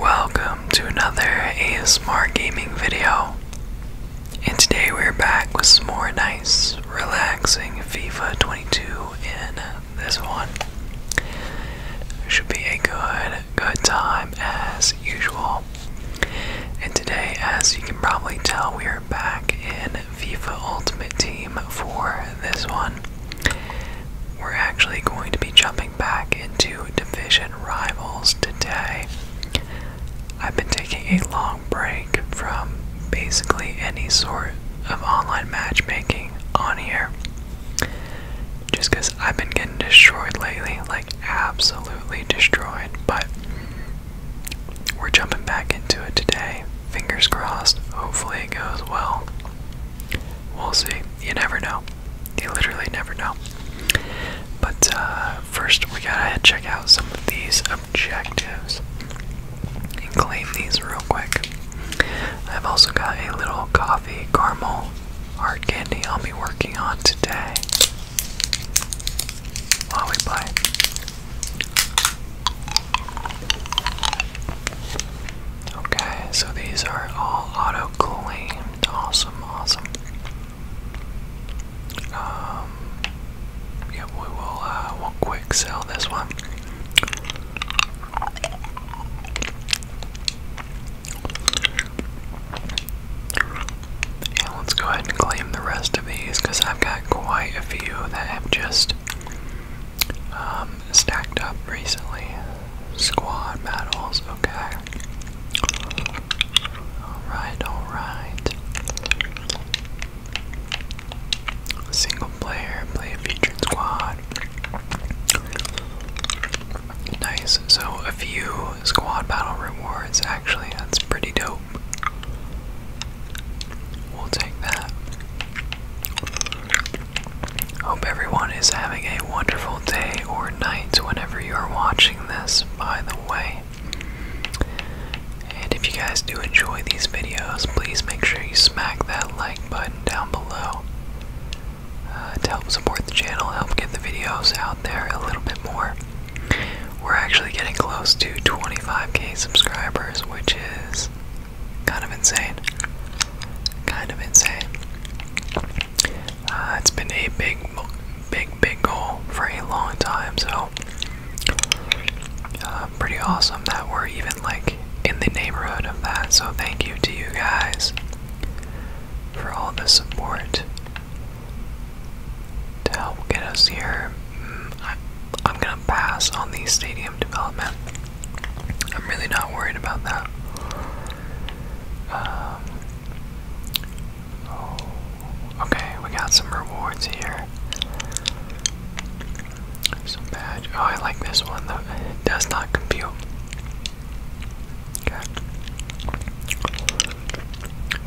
Welcome to another ASMR gaming video. And today we're back with some more nice, relaxing FIFA 22 in this one. Should be a good, good time as usual. And today, as you can probably tell, we are back in FIFA Ultimate Team for this one. We're actually going to be jumping back into division rivals today. I've been taking a long break from basically any sort of online matchmaking on here. Just because I've been getting destroyed lately, like absolutely destroyed, but we're jumping back into it today. Fingers crossed, hopefully it goes well. We'll see you never know. You literally never know. But uh, first, we gotta check out some of these objectives and claim these real quick. I've also got a little coffee caramel hard candy I'll be working on today while we play. Okay, so these are all auto cooling. Awesome, awesome. Um, we will. Uh, we'll quick sell this one. And let's go ahead and claim the rest of these because I've got quite a few that have just um, stacked up recently. Squad battles, okay. Alright, alright. Single player, play a featured squad. Nice, so a few squad battle rewards, actually, that's pretty dope. We'll take that. Hope everyone is having a wonderful day or night whenever you are watching this, by the way. And if you guys do enjoy these videos, please make sure you smack that like button down below uh, to help support the channel, help get the videos out there a little bit more. We're actually getting close to 25k subscribers, which is kind of insane. Kind of insane. Uh, it's been a big, big, big goal for a long time, so uh, pretty awesome that we're even like in the neighborhood of that. So, thank you to you guys for all the support to help get us here. Mm, I'm gonna pass on the stadium development. I'm really not worried about that. Um, okay, we got some rewards here. Some badge. Oh, I like this one though. does not compute. Okay.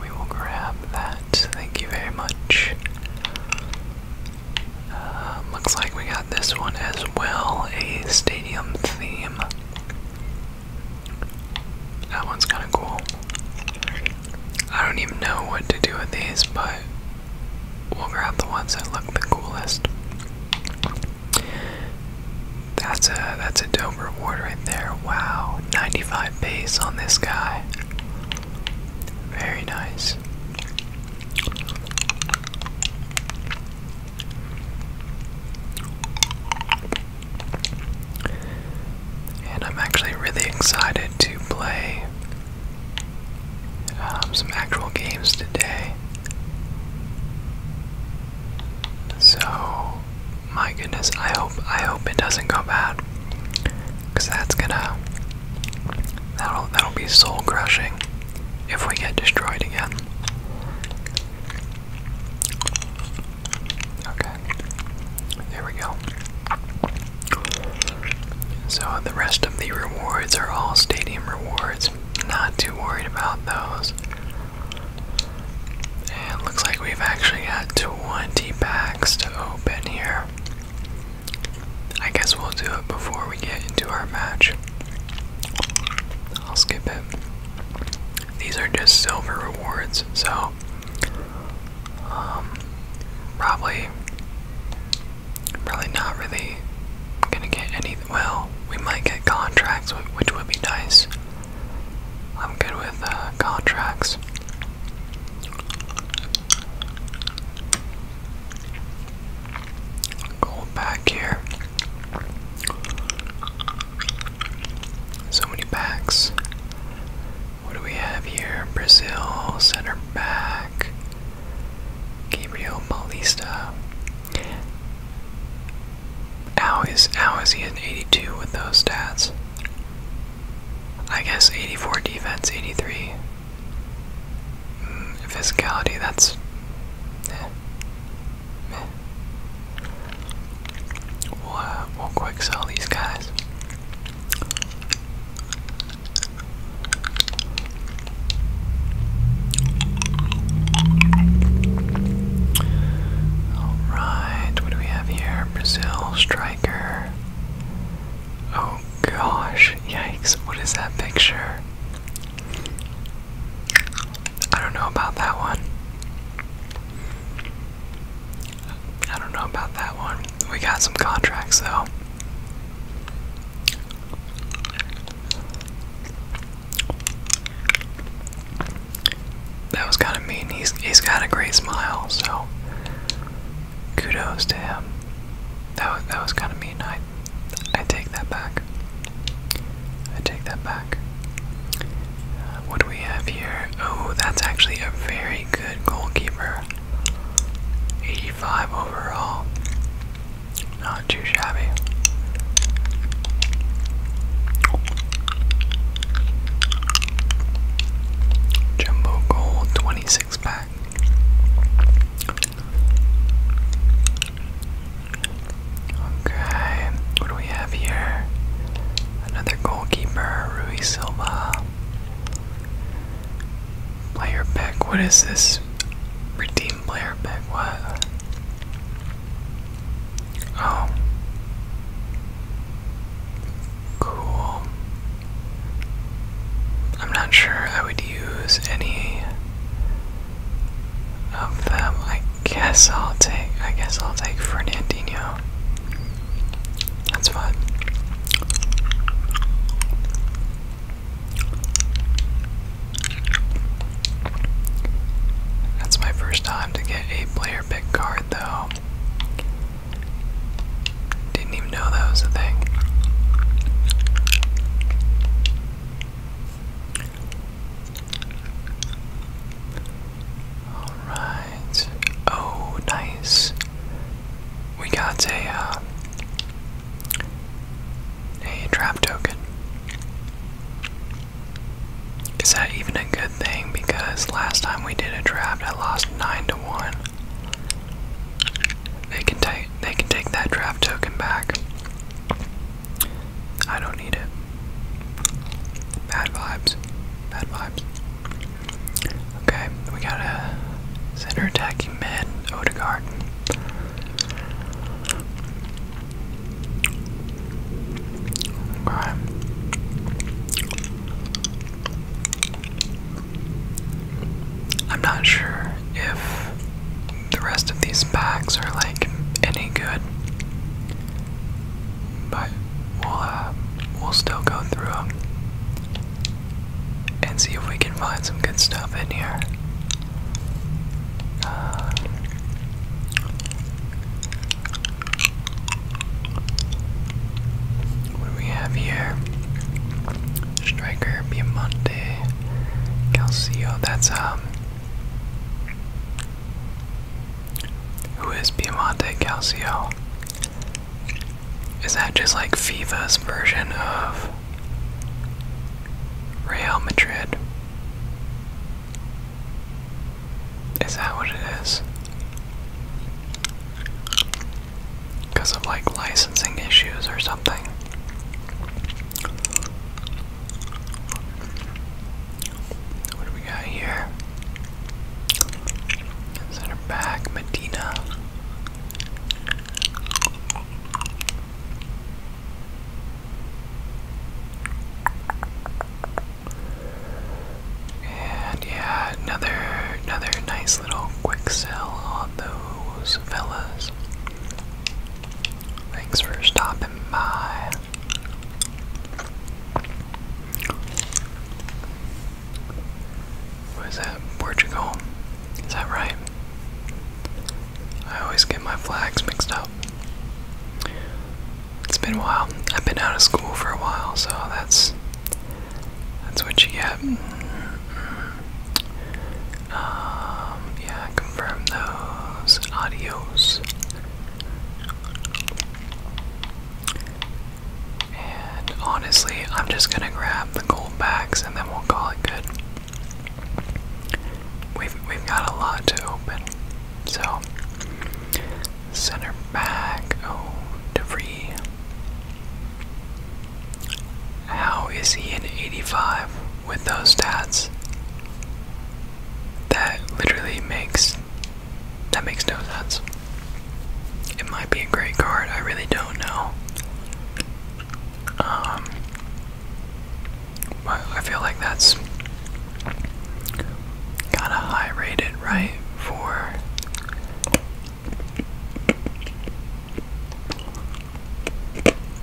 We will grab that. Thank you very much. Uh, um, looks like we got this one as well, a stadium theme. That one's kind of cool. I don't even know what to do with these, but we'll grab the ones that look the coolest. That's a that's a dope reward right there. Wow, 95 base on this guy. Very nice. And I'm actually really excited to play um, some actual games today. So, my goodness, I hope I hope it doesn't go bad, because that's gonna that'll that'll be soul crushing if we get destroyed again. Okay, there we go. So the rest of the rewards are all stadium rewards. Not too worried about those. And it looks like we've actually got 20 packs to open here. I guess we'll do it before we get into our match. I'll skip it. These are just silver rewards, so um, probably, probably not really gonna get any. Well, we might get contracts, which would be nice. I'm good with uh, contracts. Go back here. So many backs. What do we have here? Brazil, center back. Gabriel Paulista. How is how is he an 82 with those stats? I guess 84 defense, 83 physicality, that's. we'll quick sell these guys. Alright, what do we have here? Brazil striker. Oh gosh, yikes, what is that picture? I don't know about that one. I don't know about that one. We got some contracts though. That was kind of mean. He's he's got a great smile, so kudos to him. That was, that was kind of mean. I take that back. I take that back. Uh, what do we have here? Oh, that's actually a very good goalkeeper. 85 overall. Not too shabby. Jumbo goal 26 pack. Okay, what do we have here? Another goalkeeper, Rui Silva. Player pick, what is this? Redeem player pick, what? Oh. Cool. I'm not sure I would use any of them. I guess I'll take I guess I'll take Fernandinho. That's fine. That's my first time to get a player pick card though. Didn't even know that was a thing. Alright. Oh, nice. We got a, uh, a trap token. Is that even a good thing? Because last time we did a draft, I lost 9 to 1. They can take they can take that draft token back. I don't need it. Bad vibes. Bad vibes. Okay, we got a center attacking mid, Odegaard. I'm not sure if the rest of these packs are like any good, but we'll uh, we'll still go through them and see if we can find some good stuff in here. Uh, what do we have here? Striker, Piemonte, Calcio. That's um, who is Piemonte Calcio? Is that just like FIFA's version of Real Madrid? Is that what it is? Because of like licensing issues or something. What do we got here? Center back, Medina. And yeah, another another nice little quick sell on those fellas. Thanks for stopping by. What is that? Portugal? Is that right? I always get my flags mixed up. It's been a while. I've been out of school for a while, so that's that's what you get. Um, yeah, confirm those audios. And honestly, I'm just gonna grab the gold bags and then we'll call it good. We've we've got a lot to open. So center back, oh debris. How is he an 85 with those stats? That literally makes that makes no sense. It might be a great card, I really don't know. Um I feel like that's kinda high rated, right? For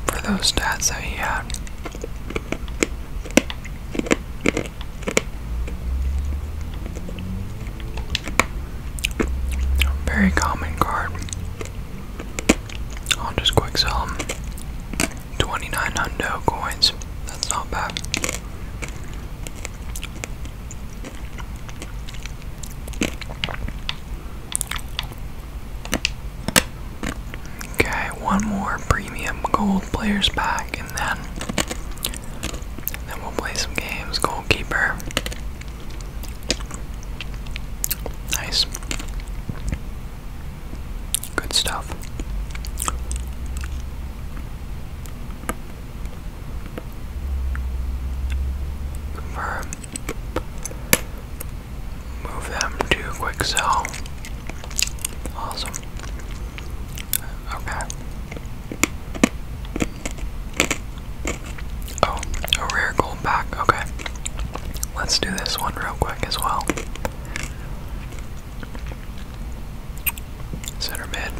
for those stats that he had. Very common card. I'll just quick sell him. coins. That's not bad. Okay, one more premium gold players pack, and then then we'll play some games. Goalkeeper, nice, good stuff. Confirm move them to quick sell. Awesome. Okay. Oh, a rare gold back. Okay. Let's do this one real quick as well. Center mid.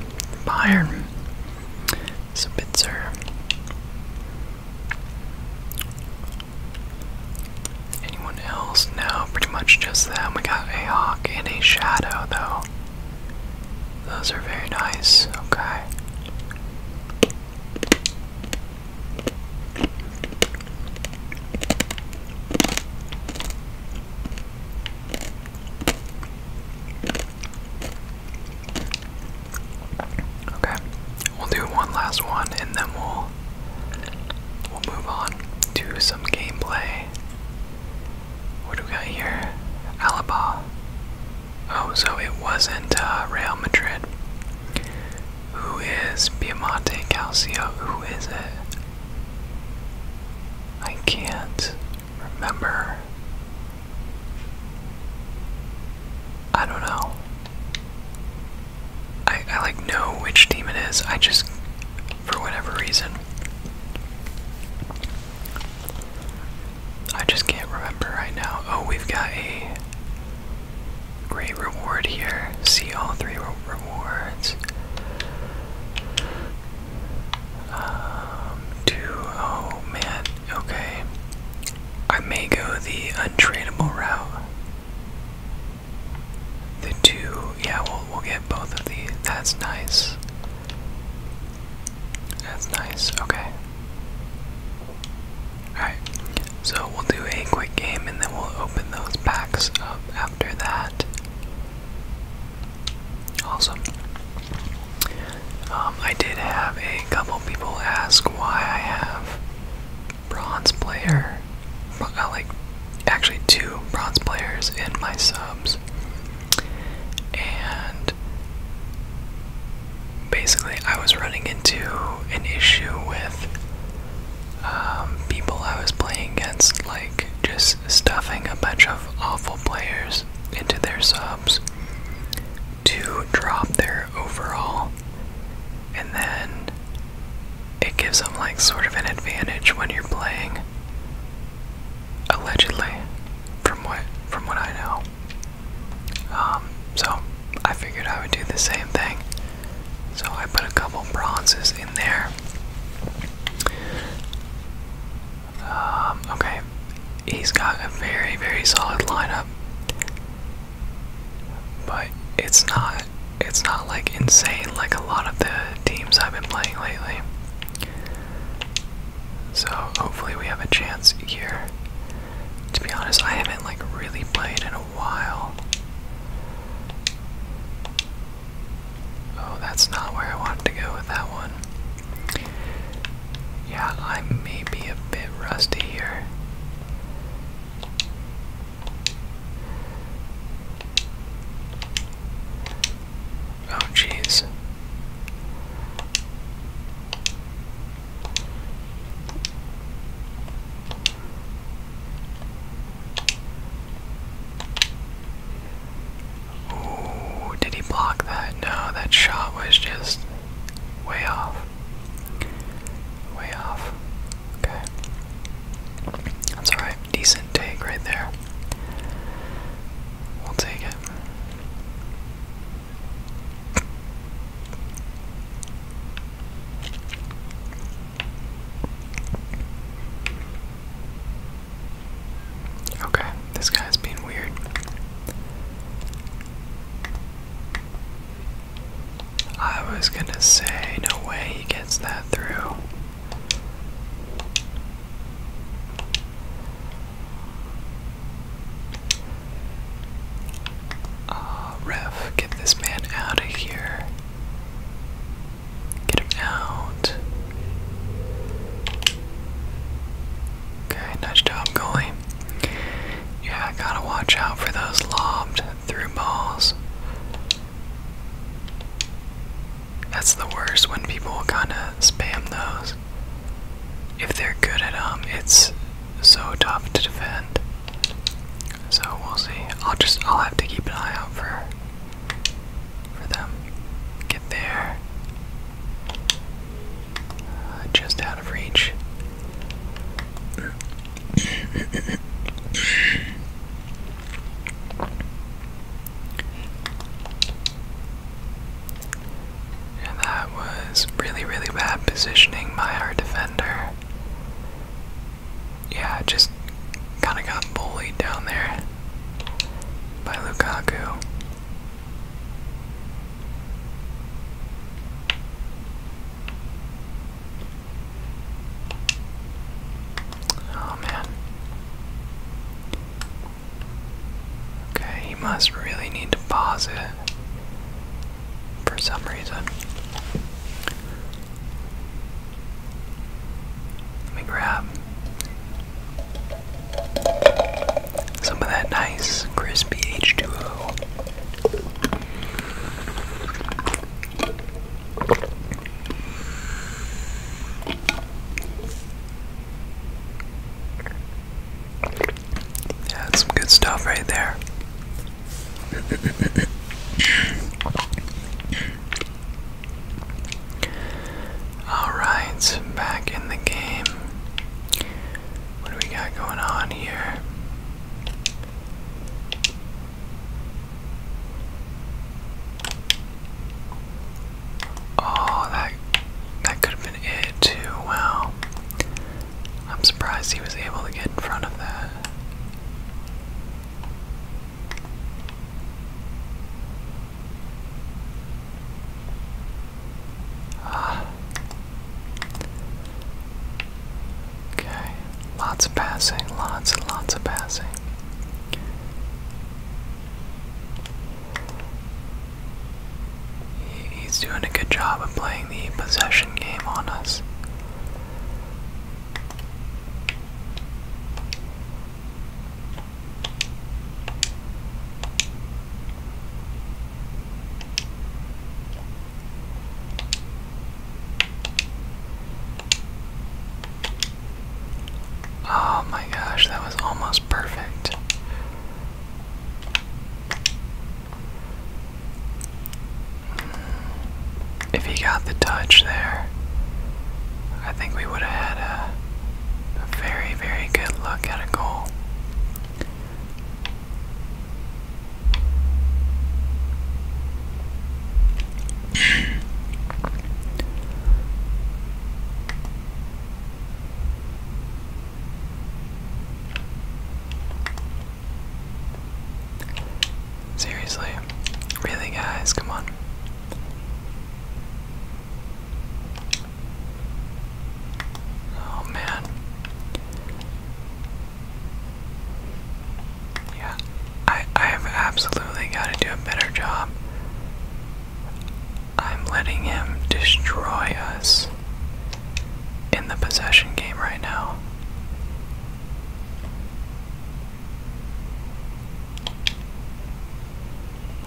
Bayern. Spitzer. Anyone else? No, pretty much just them. We got a hawk and a shadow, though. Those are very nice. Okay. Okay, We'll do one last one and then we'll we'll move on to some gameplay. What do we got here? Alaba. Oh, so it wasn't uh, Real Madrid. Who is Piemonte Calcio? Who is it? I can't remember. I don't know. I, like know which team it is. I just, for whatever reason, I just can't remember right now. Oh, we've got a great reward here. See all three rewards. Um, two, oh man, okay. I may go the untradeable route. The two, yeah, we'll, we'll get both of these. That's nice. That's nice, okay. Alright, so we'll do a quick game and then we'll open those packs up after that. Awesome. Um, I did have a couple people ask why I have bronze player, uh, like actually two bronze players in my subs, and basically I was running into an issue with um, people I was playing against, like just stuffing a bunch of awful players into their subs to drop their overall and then it gives them like sort of an advantage when you're playing allegedly from what from what I know um, so I figured I would do the same thing so I put a couple bronzes in there um, okay he's got a very very solid lineup but it's not it's not like insane like a lot of the teams I've been playing lately. So hopefully we have a chance here. To be honest, I haven't like really played in a while. Oh, that's not where I wanted to go with that one. Yeah, I may be a bit rusty here. Oh, jeez. Ooh, did he block that? No, that shot was just way off. Way off. Okay. That's alright. Decent take right there. We'll take it. Okay, this guy's being weird. I was gonna say, no way he gets that through. Uh, ref, get this man out of here. Get him out. Okay, nice job, Yeah, gotta watch out for those lobbed through balls. That's the worst when people kind of spam those. If they're good at them, it's so tough to defend. So we'll see. I'll just I'll have to keep an eye out for for them. Get there. Uh, just of reach. And that was really, really bad positioning by our defender. Yeah, just kind of got bullied down there by Lukaku. Oh man. Okay, he must really need to pause it for some reason. Let me grab some of that nice crispy H2O. Yeah, some good stuff right there. All right, back in the game. What do we got going on here? Oh, that that could have been it too. Wow. I'm surprised he was able to get in front of that. Ah. Okay, lots of passing, lots and lots of passing. he's doing a good job of playing the possession game on us. Oh my gosh, that was almost perfect. If he got the touch there, I think we would have had a, a very, very good look at a goal. Seriously, really, guys, come on. Oh man. Yeah, I I have absolutely got to do a better job. I'm letting him destroy us in the possession game right now.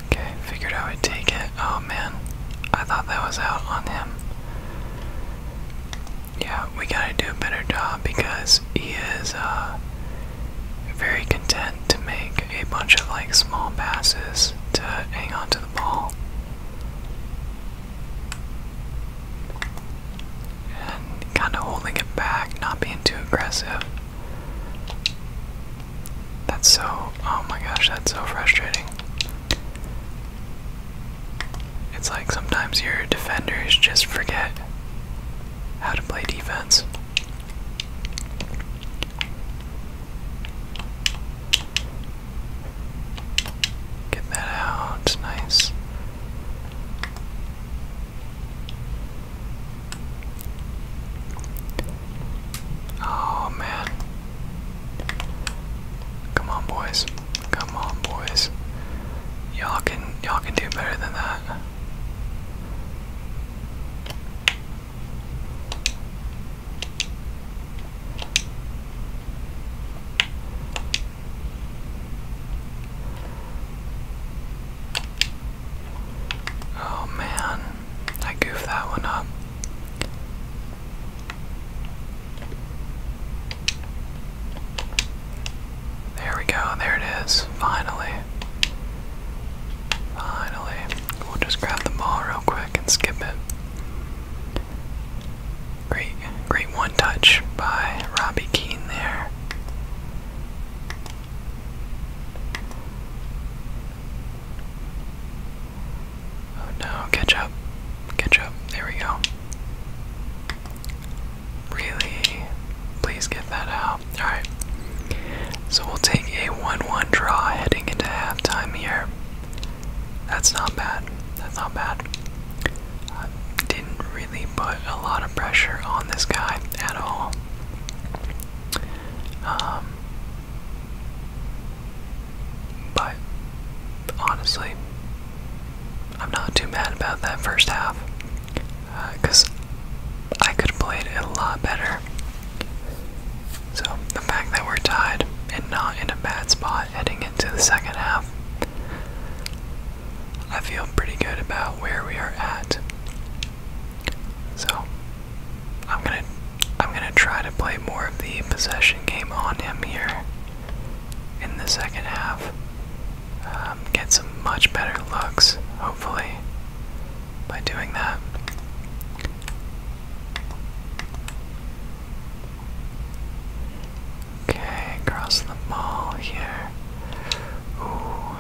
Okay, figured I would take it. Oh man, I thought that was out on him yeah, we gotta do a better job because he is uh, very content to make a bunch of like small passes to hang on to the ball. And kind of holding it back, not being too aggressive. That's so, oh my gosh, that's so frustrating. It's like sometimes your defenders just forget how to play defense. Get that out, nice. Oh man. Come on, boys. Come on, boys. Y'all can y'all can do better than that. Oh man, I goofed that one up. There we go, there it is, finally. Finally. We'll just grab the ball real quick and skip it. Great, great one touch by Robbie Keane there. Oh no, catch up. Catch up. There we go. Really? Please get that out. Alright. So we'll take a 1 1 draw heading into halftime here. That's not bad. That's not bad. Uh, didn't really put a lot of pressure on this guy at all. Um, but honestly, I'm not too mad about that first half because uh, I could have played it a lot better. So the fact that we're tied and not in a bad spot heading into the second half, I feel pretty good about where we are at. So I'm gonna I'm gonna try to play more of the possession game on him here in the second half, um, get some much better looks, hopefully, by doing that. Okay, across the mall here. Ooh,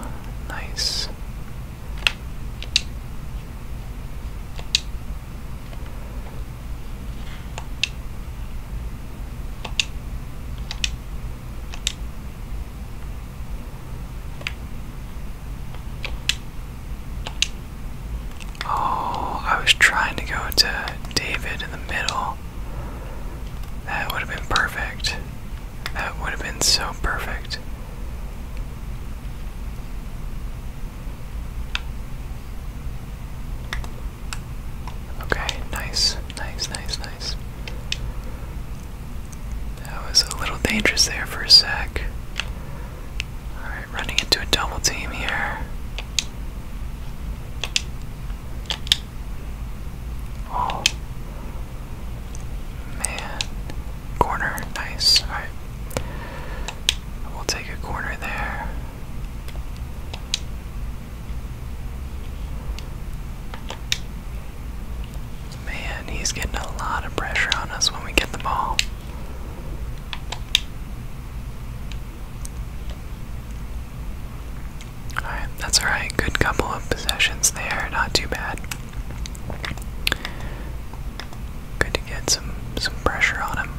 nice. Oh, I was trying to go to David in the middle. That would have been perfect. That would have been so perfect. Okay, nice, nice, nice, nice. That was a little dangerous there for a sec. Alright, running into a double team here. Oh. Man. Corner. Nice. Alright. We'll take a corner there. Man, he's getting a lot of pressure on us when we get the ball. Alright, that's alright. Good couple of possessions there, not too bad. Good to get some some pressure on him.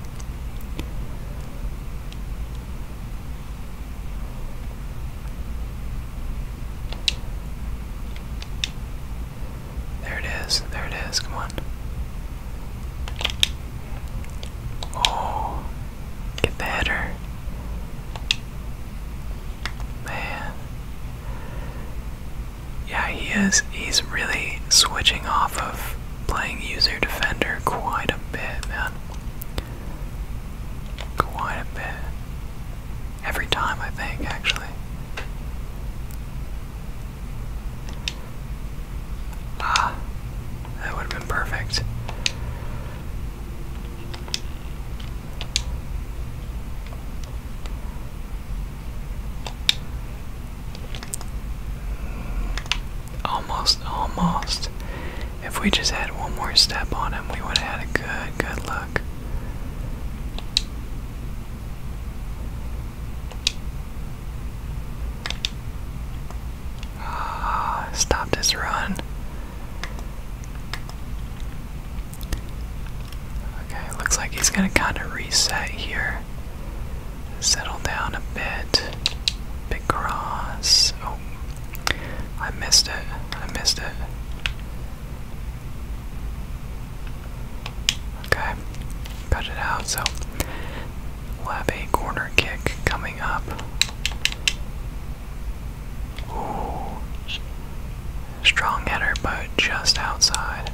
There it is. There it is. Come on. Oh, get the Man. Yeah, he is. He's really switching off of playing user defender quite a bit, man. Quite a bit. Every time, I think, actually. Ah, that would have been perfect. Almost, almost. If we just had one more step on him, we would have had a good, good look. Ah, stop this run. Okay, looks like he's gonna kind of reset here. Settle down a bit. Big cross. Oh, I missed it. I missed it. Okay, cut it out. So we'll have a corner kick coming up. Ooh, strong header, but just outside.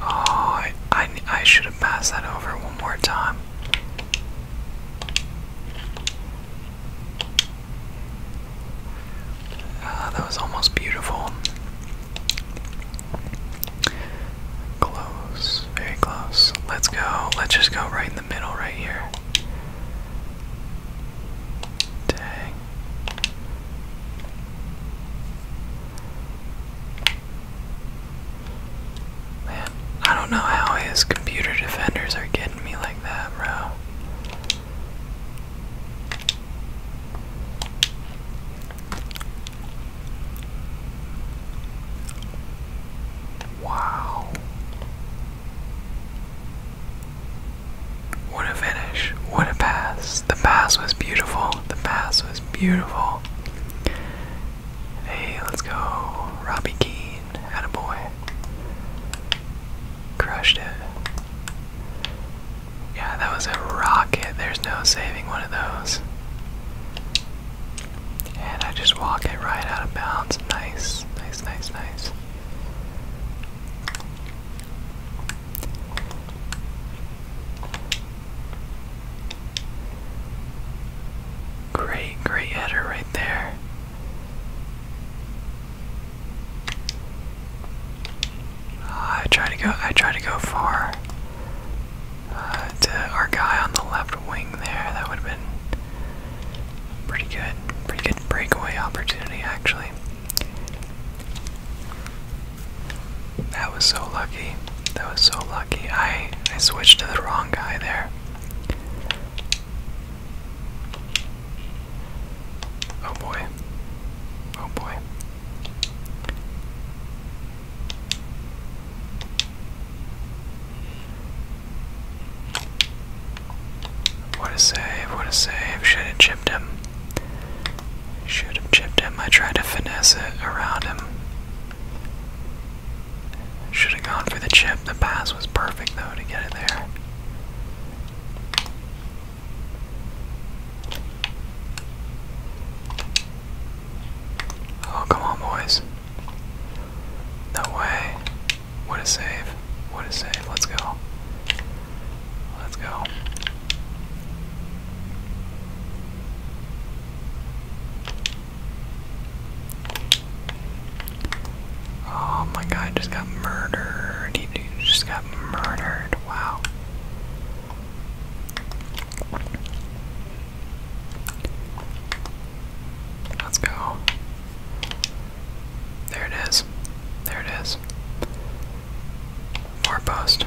Oh, I, I, I should have passed that over one more time. Ah, that was almost beautiful. Close, very close. Let's go. Let's just go right in the middle, right here. Dang. Man, I don't know how his computer defenders are getting me like that, bro. Wow. What a finish. What a pass. The pass was beautiful. The pass was beautiful. Hey, let's go. Robbie Keane. Attaboy. Crushed it. Yeah, that was a rocket. There's no saving one of those. And I just walk it right out of bounds. Nice, nice, nice, nice. Great, great header right there. I try to go. I try to go far uh, our guy on the left wing there. That would have been pretty good. Pretty good breakaway opportunity, actually. That was so lucky. That was so lucky. I I switched to the wrong guy there. Oh boy. Oh boy. What a save, what a save. Should have chipped him. Should have chipped him. I tried to finesse it around him. Should have gone for the chip. The pass was perfect though to get it there. Oh, come on, boys. No way. What a save. What a save. Let's go. Let's go. Oh my god, just got murdered. He just got murdered. Wow. Let's go. There it is. There it is. Four post.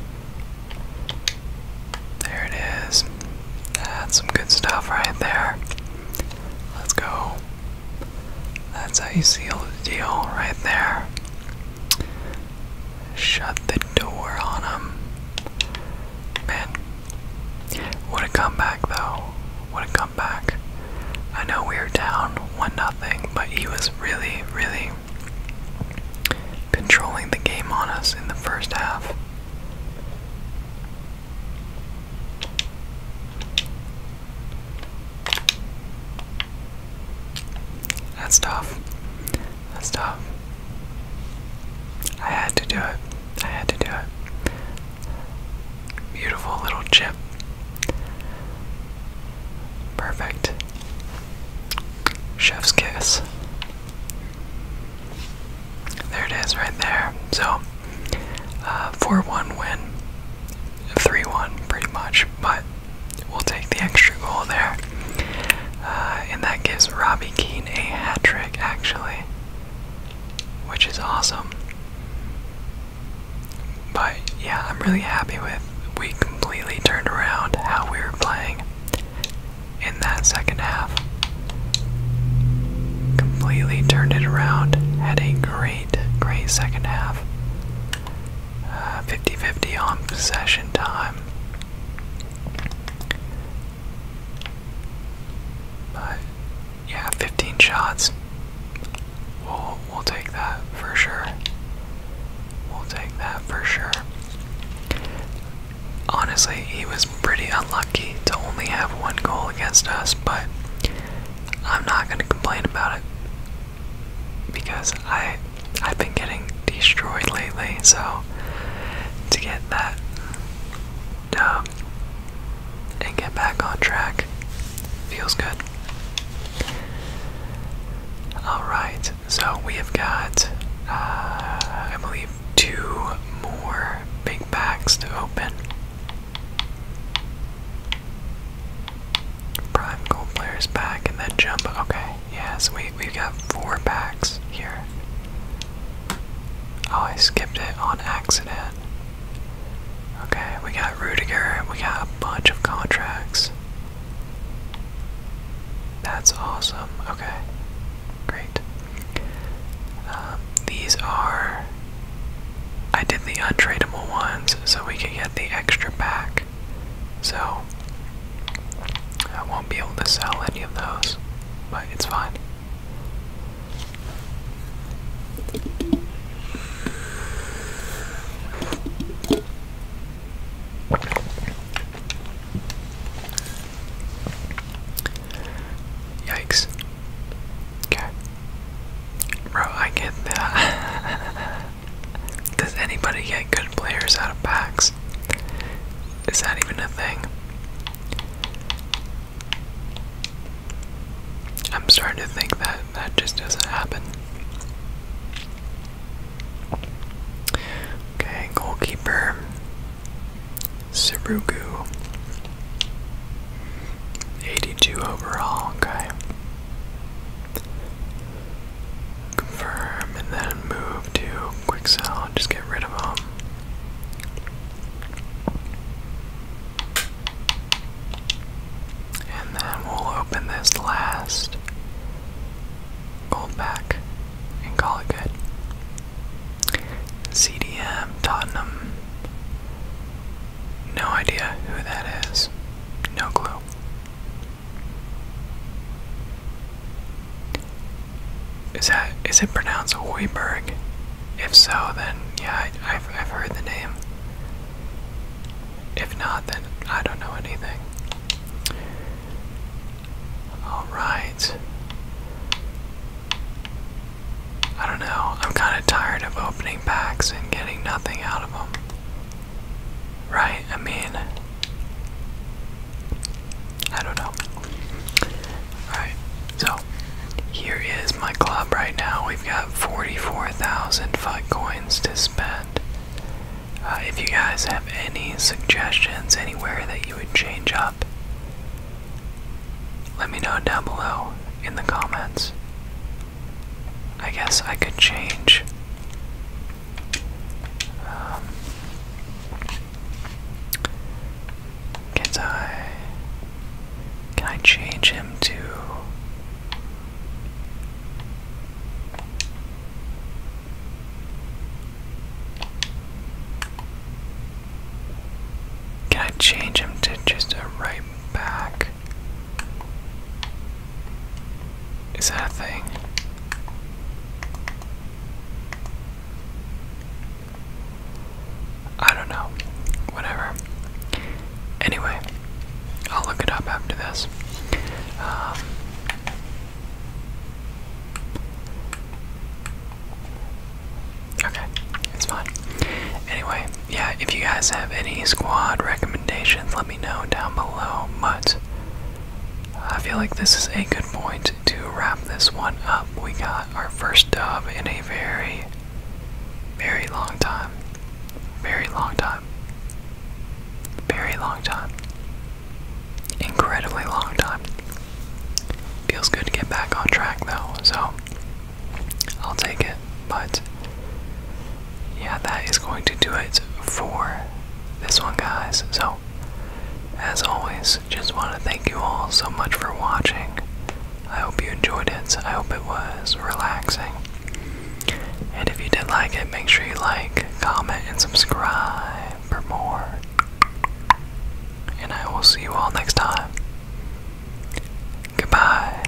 There it is. That's some good stuff right there. Let's go. That's how you seal the deal right there. Shut the door on him. Man. What a comeback though. What a comeback. I know we were down one nothing, but he was really, really controlling the game on us in the first half. That's tough. That's tough. I had to do it. I had to do it. Beautiful little chip. Perfect. Chef's kiss. There it is, right there. So, uh, 4 1 win 3-1 pretty much, but we'll take the extra goal there. Uh, and that gives Robbie Keane a hat trick, actually, which is awesome. But yeah, I'm really happy with we completely turned around how we were playing in that second half. Completely turned it around. Had a great, great second half. 50 50 on possession time. But yeah, 15 shots. We'll, we'll take that for sure. We'll take that for sure. Honestly, he was pretty unlucky to only have one goal against us, but I'm not going to complain about it because I I've been getting destroyed lately, so to get that dub and get back on track feels good. Alright, so we have got uh, I believe two more big bags to open. Prime gold players back and then jump. Okay, yeah, we, we've got four packs here. Oh, I skipped it on accident. Okay, we got Rudiger, we got a bunch of contracts. That's awesome. Okay, great. Um, these are. I did the untradeable ones so we can get the extra pack. So I won't be able to sell any of those, but it's fine. Yikes. Okay. Bro, I get that. Does anybody get good players out of packs? Is that even a thing? I'm starting to think that that just doesn't happen. Okay, goalkeeper. Surugu. 82 overall, okay confirm, and then move to quick sell just get rid of them. And then we'll open this last gold pack and call it good. CDM Tottenham. No idea who that is. No clue. Is that is it pronounced Hoiberg? If so, then yeah, I, I've I've heard the name. If not, then I don't know anything. All right. I don't know. I'm kind of tired of opening packs and getting nothing out of them. Right? I mean, I don't know. Alright, so here is my club right now. We've got 44,000 FUD coins to spend. Uh, if you guys have any suggestions anywhere that you would change up, let me know down below in the comments. I guess I could change. Um, can I? Can I change him to? Can I change him to just a right back? Is that a thing? I don't know. Whatever. Anyway, I'll look it up after this. Um, okay, it's fine. Anyway, yeah, if you guys have any squad recommendations, let me know down below. But I feel like this is a good point to wrap this one up. We got our first dub in a very, very long time. Very long time. Very long time. Incredibly long time. Feels good to get back on track though, so I'll take it. But yeah, that is going to do it for this one, guys. So, as always, just want to thank you all so much for watching. I hope you enjoyed it. I hope it was relaxing. And if you did like it, make sure you like, comment, and subscribe for more. And I will see you all next time. Goodbye.